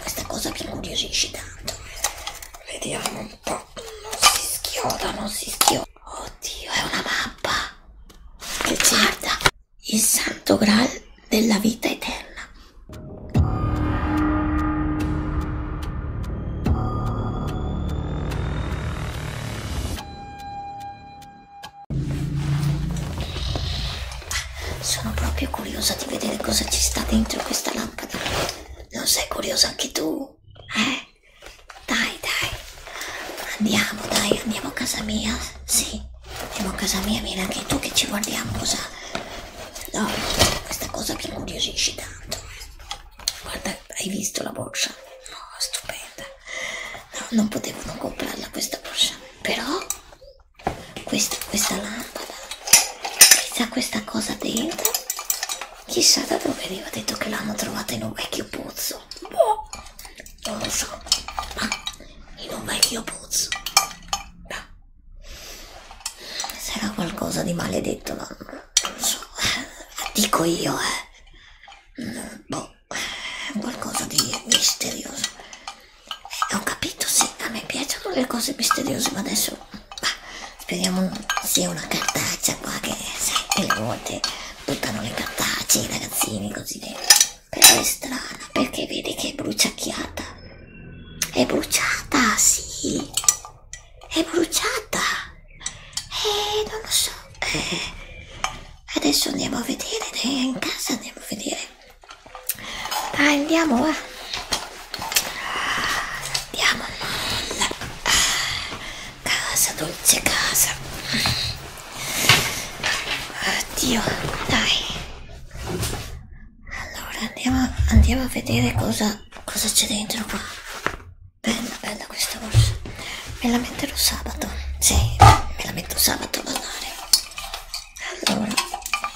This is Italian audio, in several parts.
Questa cosa mi incuriosisce tanto. Vediamo un po'. Non si schioda, non si schioda. Oddio, è una mappa. E guarda, il santo graal della vita eterna. Sono proprio curiosa di vedere cosa ci sta dentro questa lampada. Non sei curiosa anche tu? Eh? Dai, dai. Andiamo, dai, andiamo a casa mia. Sì, andiamo a casa mia, vieni anche tu che ci guardiamo cosa. No, questa cosa mi incuriosisce tanto. Guarda, hai visto la borsa? No, stupenda. No, non potevo non comprarla questa borsa. Però questa, questa lampada, chissà questa cosa dentro, chissà da dove veniva detto che l'hanno trovata in un vecchio pozzo, boh, non lo so, ma in un vecchio pozzo, no. sarà qualcosa di maledetto, ma non lo so, eh, dico io, eh, mm, boh, qualcosa di misterioso. E eh, ho capito, sì, a me piacciono le cose misteriose, ma adesso bah, speriamo non sia una cartaccia qua che sai, delle volte buttano le cartacce i ragazzini così che... Però è strana, perché vedi che è bruciacchiata. È bruciata, sì. È bruciata. Eh, non lo so. Eh, adesso andiamo a vedere, in casa andiamo a vedere dai andiamo va andiamo casa dolce casa oddio dai allora andiamo, andiamo a vedere cosa cosa c'è dentro qua bella bella questa borsa me la metterò sabato sì me la metto sabato a ballare allora,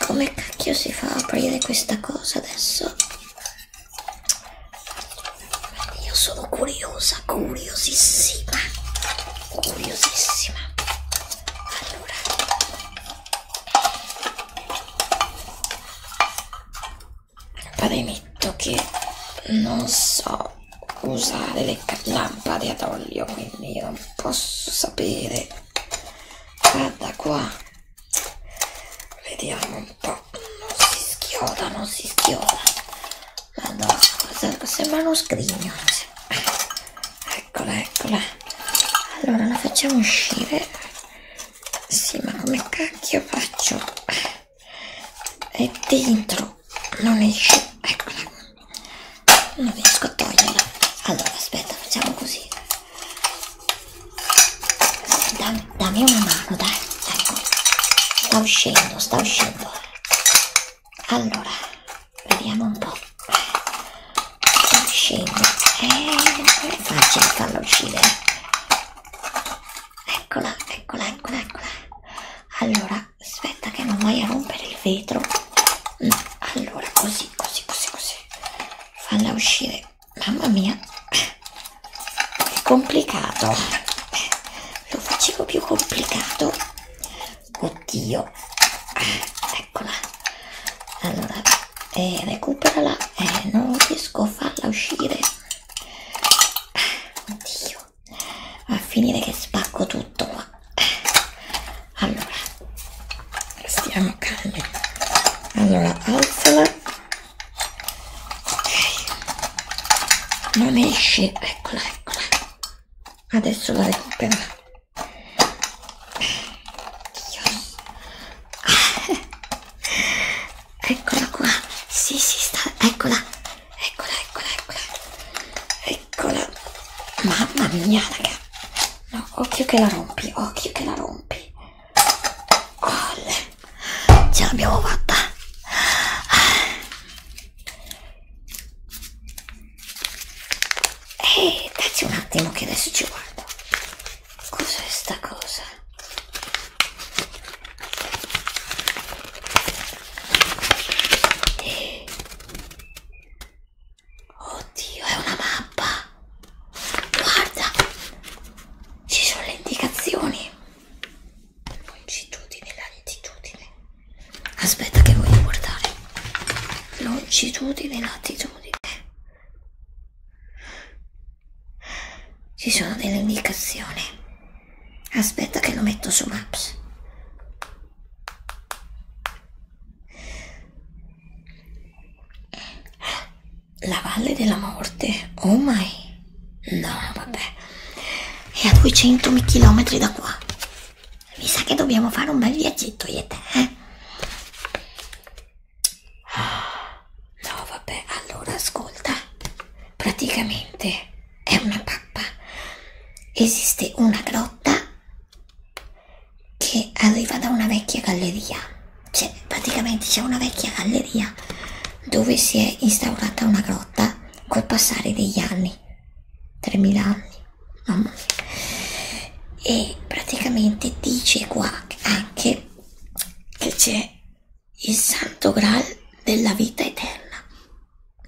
come cacchio si fa a aprire questa cosa adesso? Io sono curiosa, curiosissima, curiosissima. Allora. Premetto che non so usare le lampade ad olio, quindi io non posso sapere guarda qua vediamo un po' non si schioda non si schioda Madonna, sembra uno scrigno eccola eccola allora la facciamo uscire sì ma come cacchio faccio è dentro non esce eccola non riesco a toglierla allora aspetta facciamo così da, dammi una mano, dai, ecco. Sta uscendo, sta uscendo. Allora, vediamo un po'. Sta uscendo. Eh, non è facile farlo uscire. Eccola, eccola, eccola, eccola. Allora, aspetta che non vai a rompere il vetro. Mm, allora, così, così, così, così falla uscire mamma mia è complicato lo facevo più complicato oddio eccola allora eh, recuperala eh, non riesco a farla uscire oddio va a finire che spacco tutto qua allora stiamo calmi allora alzala ok non esce eccola eccola adesso la recupero eccola qua si sì, si sì, sta eccola eccola eccola eccola eccola mamma mia ragazzi No, occhio che la rompi, occhio che la rompi. Olle, ce l'abbiamo fatta. Ehi, dacci un attimo che adesso ci guardo. Cos'è sta cosa? Eh. Oddio, è una mappa. Guarda, ci sono le indicazioni. Longitudine, latitudine. Aspetta che voglio guardare. Longitudine, latitudine. Ci sono delle indicazioni. Aspetta che lo metto su Maps. La valle della morte, oh my. No, vabbè, è a 200 chilometri da qua. Mi sa che dobbiamo fare un bel viaggetto io e te, eh? No, vabbè, allora ascolta. Praticamente è una pappa. Esiste una grotta che arriva da una vecchia galleria, cioè praticamente c'è una vecchia galleria dove si è instaurata una grotta col passare degli anni, 3000 anni, mamma mia. e praticamente dice qua anche che c'è il santo graal della vita eterna,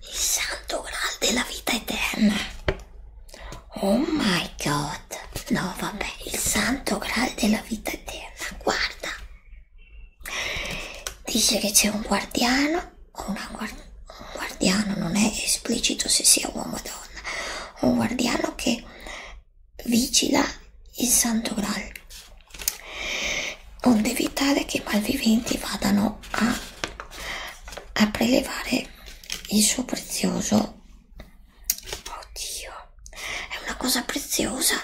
il santo graal della vita eterna Oh my god! No, vabbè, il santo graal della vita eterna, guarda! Dice che c'è un guardiano, una guard un guardiano non è esplicito se sia uomo o donna, un guardiano che vigila il santo graal, onde evitare che i malviventi vadano a, a prelevare il suo prezioso Oddio, è una cosa preziosa.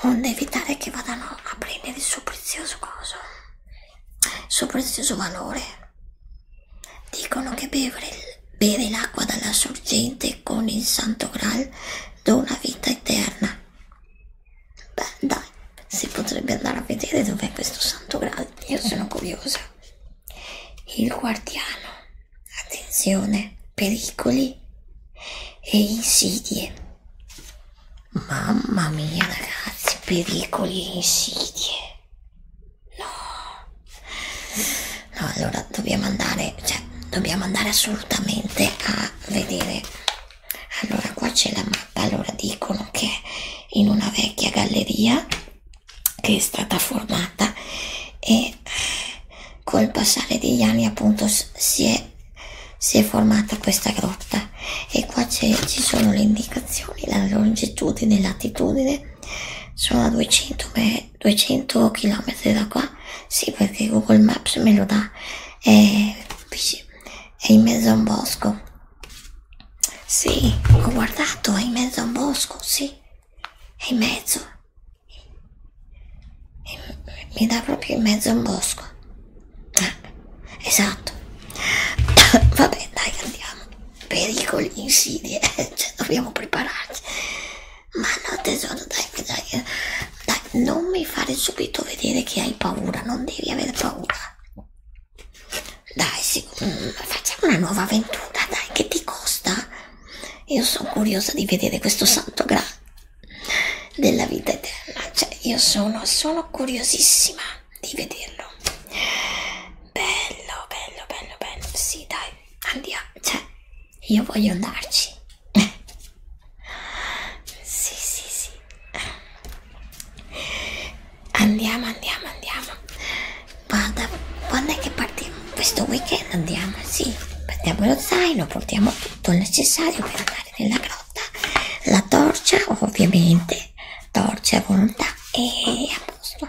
Onde evitare che vadano a prendere il suo prezioso coso, il suo prezioso valore. Dicono che bevere, bere l'acqua dalla sorgente con il Santo Graal dona vita eterna. Beh, dai, si potrebbe andare a vedere dov'è questo Santo Graal. Io sono curiosa il guardiano, attenzione, pericoli e insidie. Mamma mia ragazzi, pericoli e insidie. No, no, allora dobbiamo andare, cioè dobbiamo andare assolutamente a vedere. Allora qua c'è la mappa, allora dicono che in una vecchia galleria che è stata formata e col passare degli anni appunto si è, si è formata questa grotta e qua ci sono le indicazioni la longitudine e latitudine sono a 200, 200 km da qua sì perché Google Maps me lo dà è, è in mezzo a un bosco sì ho guardato è in mezzo a un bosco sì è in mezzo, e mi dà proprio in mezzo a un bosco. Ah, esatto, vabbè, dai, andiamo. Pericoli, insidie, cioè, dobbiamo prepararci. Ma no, tesoro, dai, dai, eh. dai, non mi fare subito vedere che hai paura, non devi avere paura. Dai, sì, facciamo una nuova avventura, dai, che ti costa? Io sono curiosa di vedere questo santo grado della vita eterna, cioè io sono, sono curiosissima di vederlo. Bello, bello, bello, bello, sì, dai, andiamo, cioè io voglio andarci. sì, sì, sì. Andiamo, andiamo, andiamo guarda, quando è che partiamo? Questo weekend andiamo, sì, prendiamo lo zaino, portiamo tutto il necessario per andare nella grotta, la torcia ovviamente, torcia a volontà e a posto.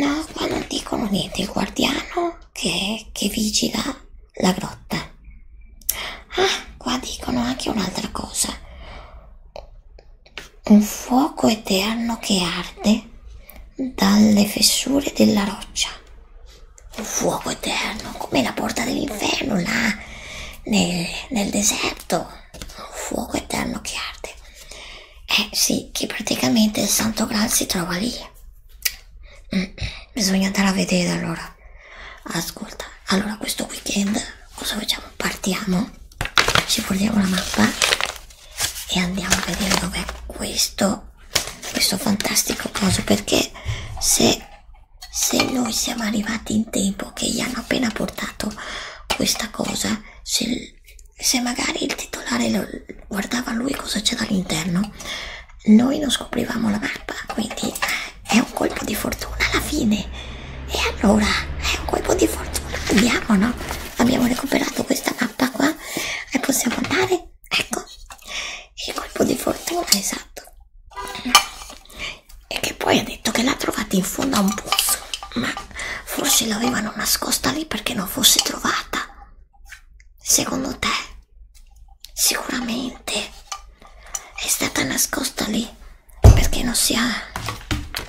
No, qua non dicono niente, il guardiano che, che vigila la grotta. Ah, qua dicono anche un'altra cosa un fuoco eterno che arde dalle fessure della roccia. Un fuoco eterno, come la porta dell'inferno là nel, nel deserto. Un fuoco eterno che arde. Eh sì, che praticamente il Santo Graal si trova lì. Mm, mm bisogna andare a vedere allora. Ascolta, allora questo weekend cosa facciamo? Partiamo, ci portiamo la mappa e andiamo a vedere dov'è questo questo fantastico coso perché se, se noi siamo arrivati in tempo che gli hanno appena portato questa cosa se, se magari il titolare lo, guardava lui cosa c'è dall'interno noi non scoprivamo la mappa quindi eh, è un colpo di fortuna alla fine e allora è un colpo di fortuna andiamo no abbiamo recuperato questa mappa qua e possiamo andare ecco il colpo di fortuna esatto e che poi ha detto che l'ha trovata in fondo a un pozzo ma forse l'avevano nascosta lì perché non fosse trovata secondo te sicuramente è stata nascosta lì perché non sia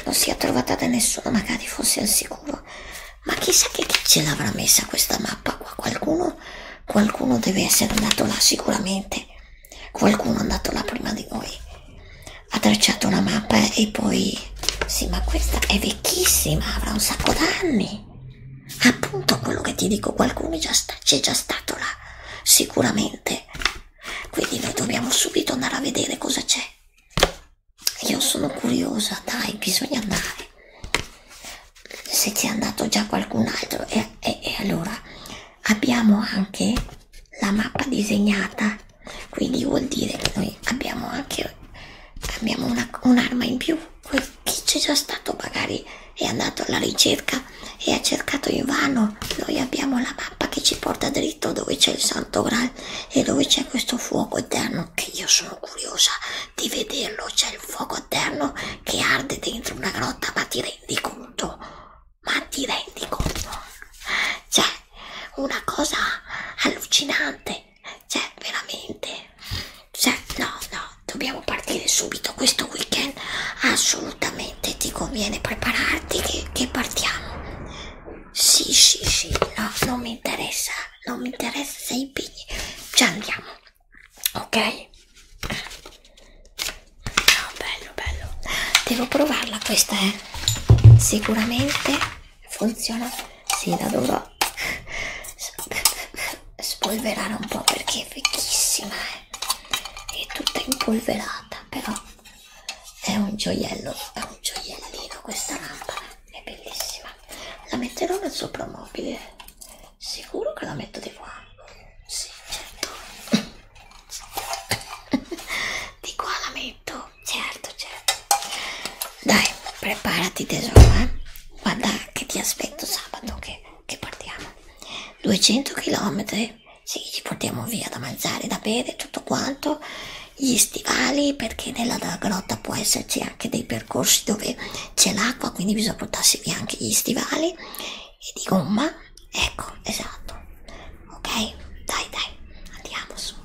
non sia trovata da nessuno magari fosse al sicuro schermo. Ma chissà che chi ce l'avrà messa questa mappa qua? Qualcuno, qualcuno deve essere andato là sicuramente. Qualcuno è andato là prima di voi. Ha tracciato una mappa e poi... Sì, ma questa è vecchissima, avrà un sacco d'anni. Appunto quello che ti dico, qualcuno c'è già stato là, sicuramente. Quindi noi dobbiamo subito andare a vedere cosa c'è. Io sono curiosa, dai, bisogna andare. Se c'è andato già qualcun altro, e, e, e allora abbiamo anche la mappa disegnata, quindi vuol dire che noi abbiamo anche abbiamo un'arma un in più. Chi c'è già stato magari è andato alla ricerca e ha cercato in vano. Noi abbiamo la mappa che ci porta dritto dove c'è il santo graal e dove c'è questo fuoco eterno che io sono curiosa di vederlo c'è il fuoco eterno che arde dentro una grotta ma ti rendi conto ma ti rendi conto c'è una cosa allucinante c'è veramente cioè no no dobbiamo partire subito questo weekend assolutamente ti conviene prepararti che, che partiamo sì, sì, sì, no, non mi interessa, non mi interessa se i pigni. Già andiamo, ok? No, bello, bello. Devo provarla questa, eh? Sicuramente funziona. Sì, la dovrò spolverare un po' perché è vecchissima, eh? È tutta impolverata, però è un gioiello, è un gioiellino questa lampada è bellissima la metterò nel sopromobile sicuro che la metto di qua sì certo di qua la metto certo certo dai preparati tesoro eh? guarda che ti aspetto sabato che, che partiamo 200 km sì ci portiamo via da mangiare da bere tutto quanto gli stivali perché nella grotta può esserci anche dei percorsi dove c'è l'acqua quindi bisogna portarsi via anche gli stivali e di gomma ecco esatto ok dai dai andiamo su